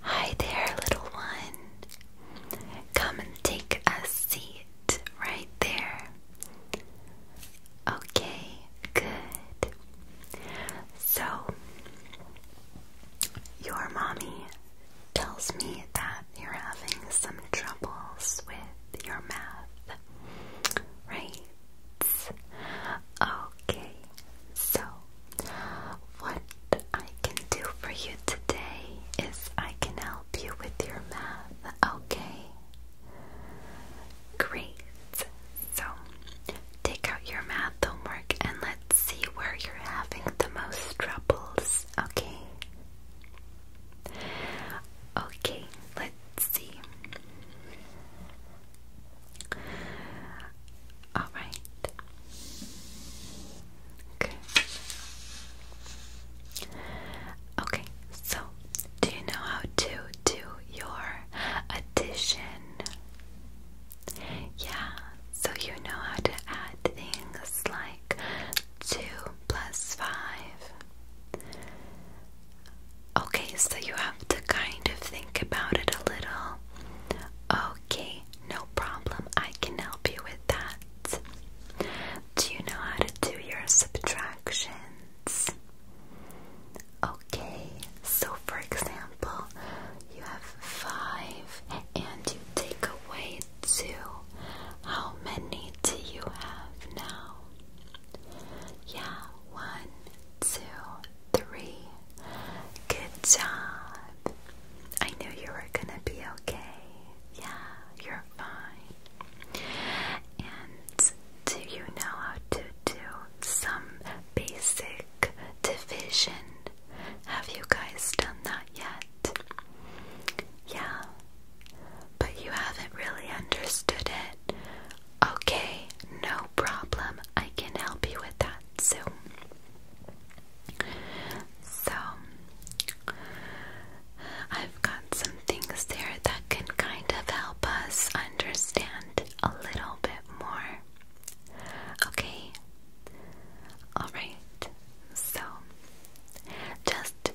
Hi there, little one. Come and take a seat right there. Okay, good. So, your mommy tells me that you're having some troubles with your math, right? Okay, so what I can do for you today is I can help you with your math, okay? Great. So take out your math homework and let's see where you're having the most troubles okay. Okay, let's see. All right. Okay. Okay, so do you know how to do your addition? Yeah, so you know how to add things like 2 plus 5. Okay, so you have to kind of think about it a little. Okay, no problem. I can help you with that. Do you know how to do your subtractions? Okay, so for example, you have five, and you take away two. How many do you have now? Yeah, one, two, three. Good job. I knew you were gonna be okay. Yeah, you're fine. And do you know how to do some basic division. Have you guys done that yet? Yeah, but you haven't really understood it. Okay, no problem. I can help you with that soon. So, I've got some things there that can kind of help us understand a little bit more. Okay. Alright. So just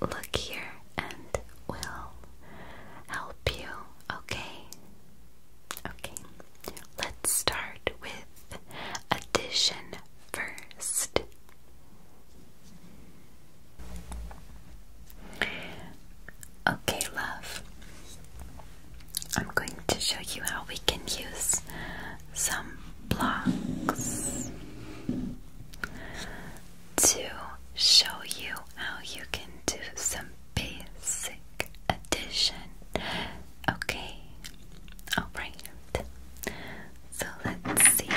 look here and we'll help you, okay? Okay. Let's start with addition first. Okay, love. I'm going to show you how we can use some blocks to show you how you can do some basic addition. Okay, alright. So let's see.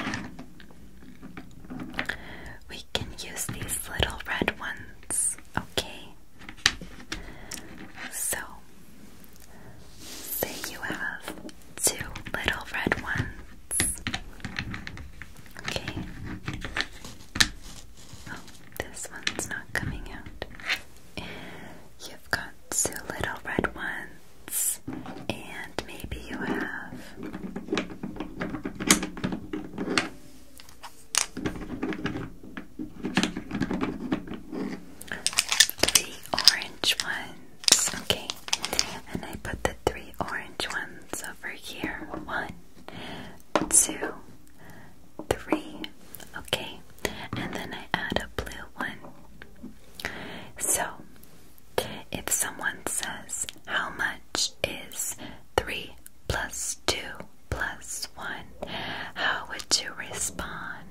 We can use these little red ones, okay? So, say you have two little red ones. Okay. Oh, this one's not coming out. You've got two little red ones, and maybe you have Three orange ones. Okay. And I put the three orange ones over here. One, two, three. Okay. And then I add a blue one. So, if someone says, How much is three plus 2 plus 1. How would you respond?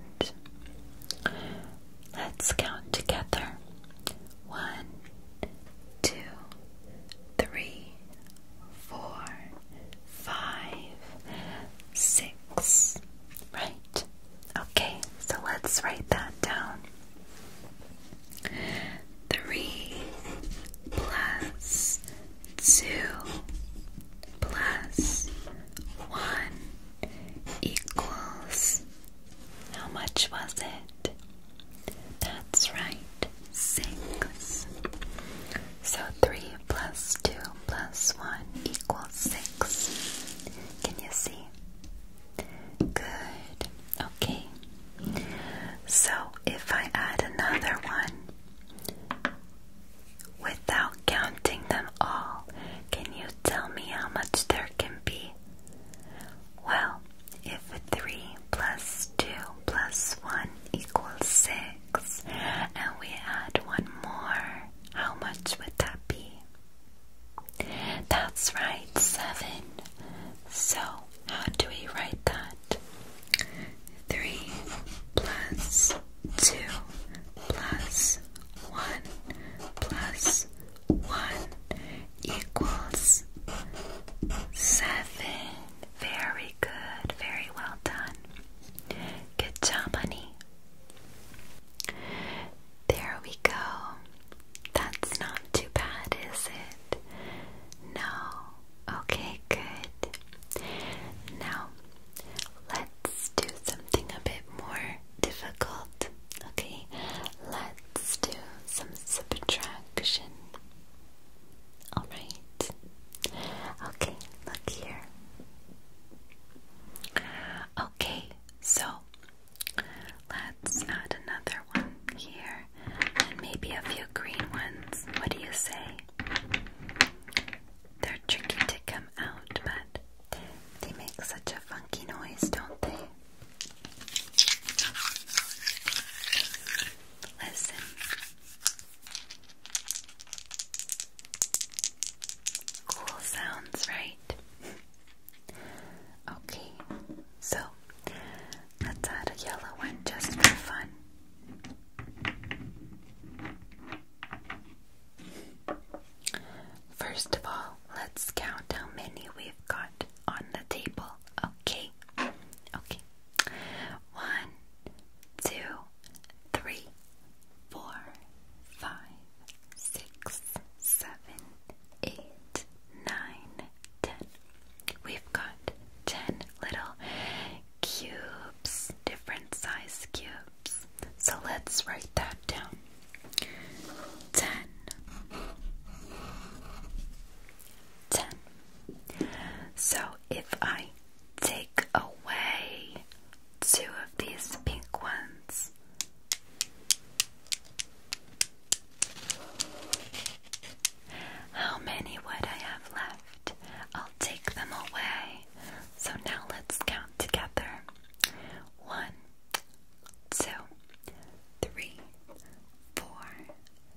Let's count together. One, two, three, four, five, six. Right? Okay, so let's write that down. 3 plus 2 plus 1 equals how much was it? That's right, 6. So 3 plus 2 plus 1 equals 6. Can you see? Good. Okay. So if I add another one, Without counting them all, can you tell me how much there can be? Well, if 3 plus 2 plus 1 equals 6, and we add one more, how much would that be? That's right, 7. So, how do we write that? Three plus two plus one plus one equals seven. Very good, very well done. Good job, honey. There we go. That's not too bad, is it? No, Okay, good. Now let's do something a bit more difficult. Okay, let's do some subtraction. Alright. Okay, look here. Okay, so let's add another one here and maybe a few green ones. What do you say? They're tricky to come out, but they make such a funky noise, don't they? Listen. Cool sounds, right? okay, so Let's add a yellow one just for fun. First of all, let's count how many we've got on the table, okay? Okay. One, two, three, four, five, six, seven, eight, nine, ten. We've got ten little cubes, different size cubes. So let's write that down. Ten. Ten. So if I take away two of these pink ones, how many would I have left? I'll take them away. So now let's count together. One, two, three, four,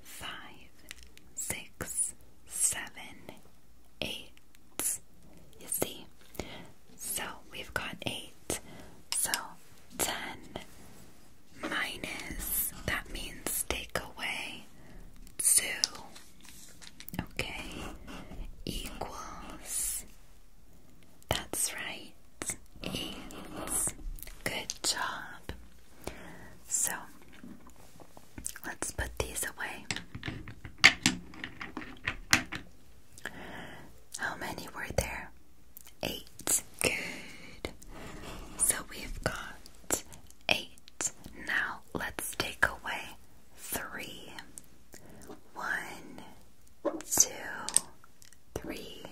five, six, seven, eight. You see? So we've got eight. So ten, minus, that means take away 2, okay, equals, that's right, 8. Good job. So, let's put these away. How many were there? Eight. Good. So we've got eight. Now let's take away three. One, two, three.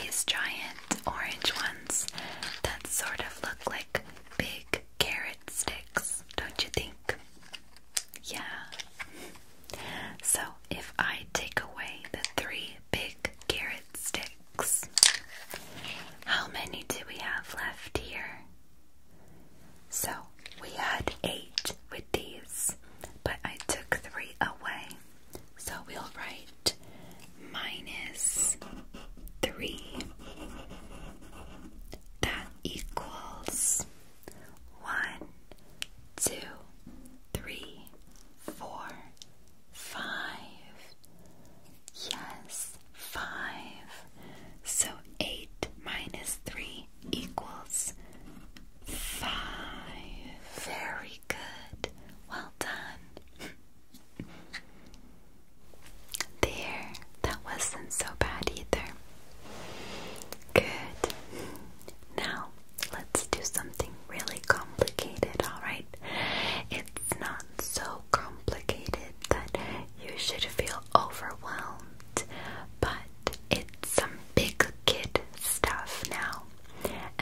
These giant orange ones that sort of look like big carrot sticks, don't you think? Yeah. So if I take away the three big carrots sticks. How many do we have left here? So we had eight with these, but I took three away. So we'll write minus three. That equals one, two, three, four, five. Yes, five. So eight minus three equals five. Very good. Well done. There, that wasn't so bad either. Good. Now, let's do something really complicated, alright? It's not so complicated that you should feel overwhelmed, but it's some big kid stuff now,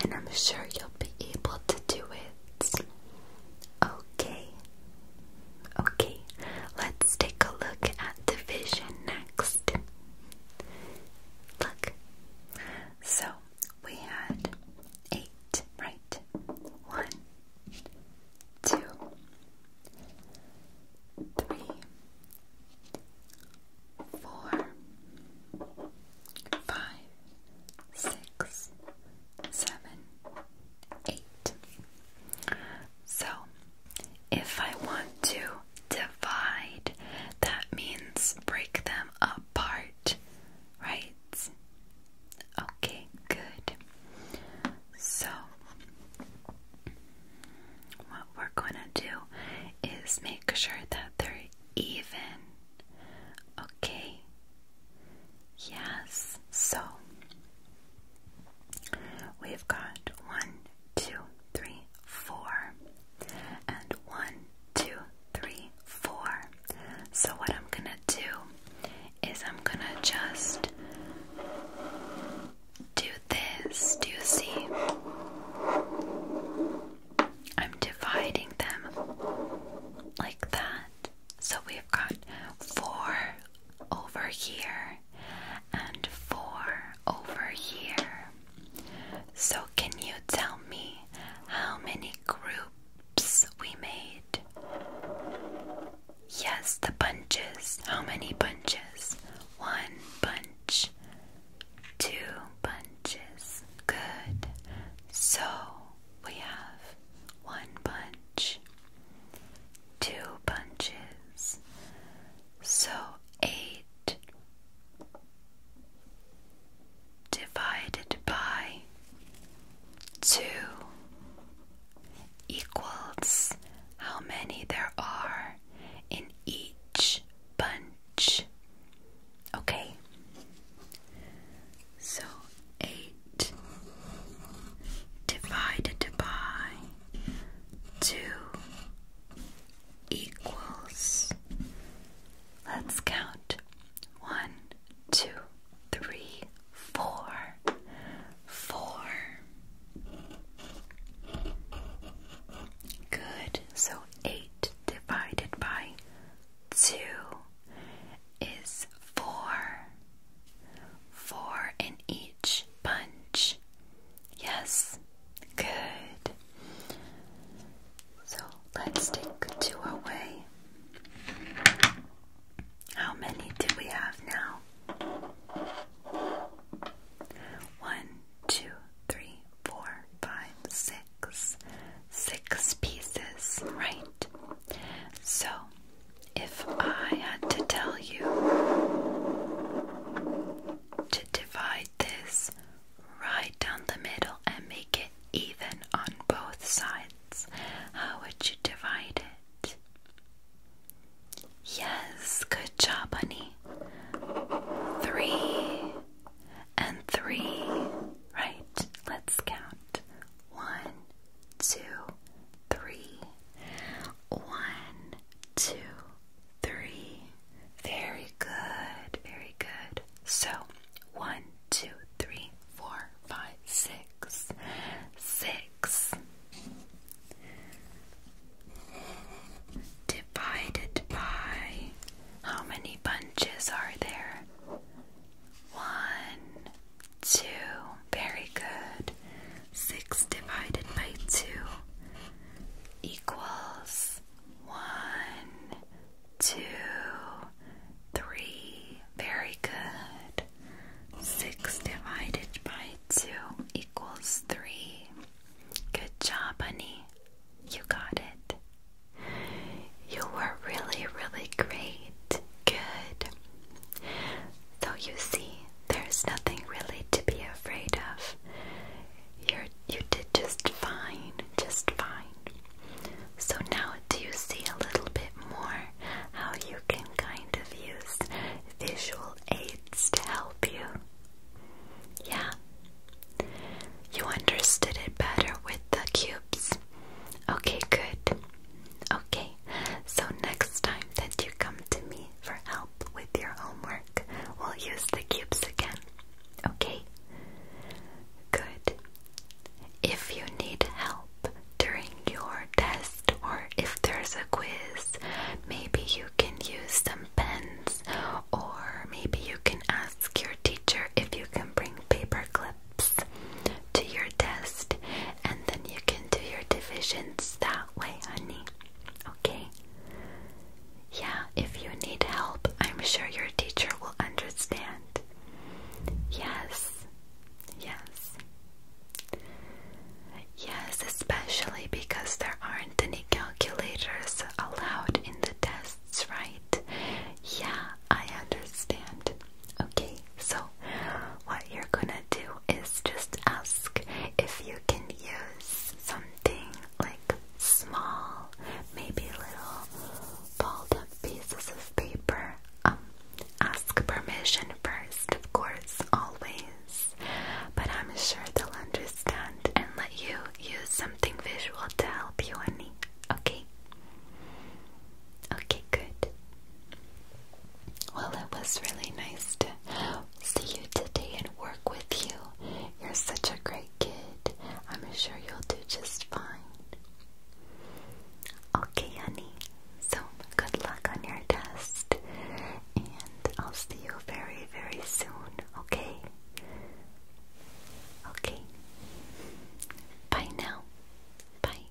and I'm sure you'll be able to do it. Okay, okay, let's take a look at division next. Look, so we had eight, right? One, two, three, four, five, six, seven, eight. So, if I want to divide. That means break them apart, right? Okay, good. So, what we're gonna do is make sure that they're even. Okay, yes. So, we've got one, two, three, four, and one, two, three, four. So, what I'm gonna do is I'm gonna just do this. Do you see? I'm dividing them like that. So, we've got four over here and four over here. So, can you tell me how many groups we made? Yes, the bunches. How many bunches? One bunch, two bunches. Good. So, we have one bunch, two bunches. So, eight divided by 2 equals how many there are in each bunch. Okay, so 8 divided by 2 equals. Let's count. One, two, Good. So eight divided by two is four. Four in each bunch Yes, good. So let's stick to our way. How many do we have now? One, two, three, four, five, six. Six pieces, right? So, if I had to tell you to divide this right down the middle and make it even on both sides. How would you divide it? Yes, good job, honey. Three and three. Right, let's count. One, two, three. One, two, three. Very good, very good. So, one, two, three, four, five, six, six. Divided by how many bunches are there? One, two. Very good. 6 divided by 2 equals 1, 2, 3. Very good. 6 divided by 2 equals 3. Good job, honey. You got it. You were really, really great. Good. So you see, there's nothing really to be afraid of. You're, you did just fine, just fine. So now, do you see a little bit more how you can kind of use visual aids to help you? Yeah. You understood it better with the cubes. Okay, good. Okay, so next time that you come to me for help with your homework, we'll use the cubes again. Okay? Good. If you need help during your test or if there's a quiz, maybe you can use some pens or maybe you can ask your teacher if you can bring paper clips to your test and then you can do your divisions that way, honey. Okay? Yeah, if you need help, I'm sure your teacher will understand. Yes, yes. Yes, especially because there aren't any calculators allowed in the tests, right? Yeah, I understand. Okay, so what you're gonna do is just ask if you can use something like small, maybe little balled up pieces of paper. Um, ask permission first, of course, always. But I'm sure they'll understand and let you use something visual to help you, honey. Okay? Okay, good. Well, it was really nice to see you today and work with you. You're such a great kid. I'm sure you'll do just fine. Okay, honey. So, good luck on your test. And I'll see you very, very soon, okay? Okay. Bye now. Bye.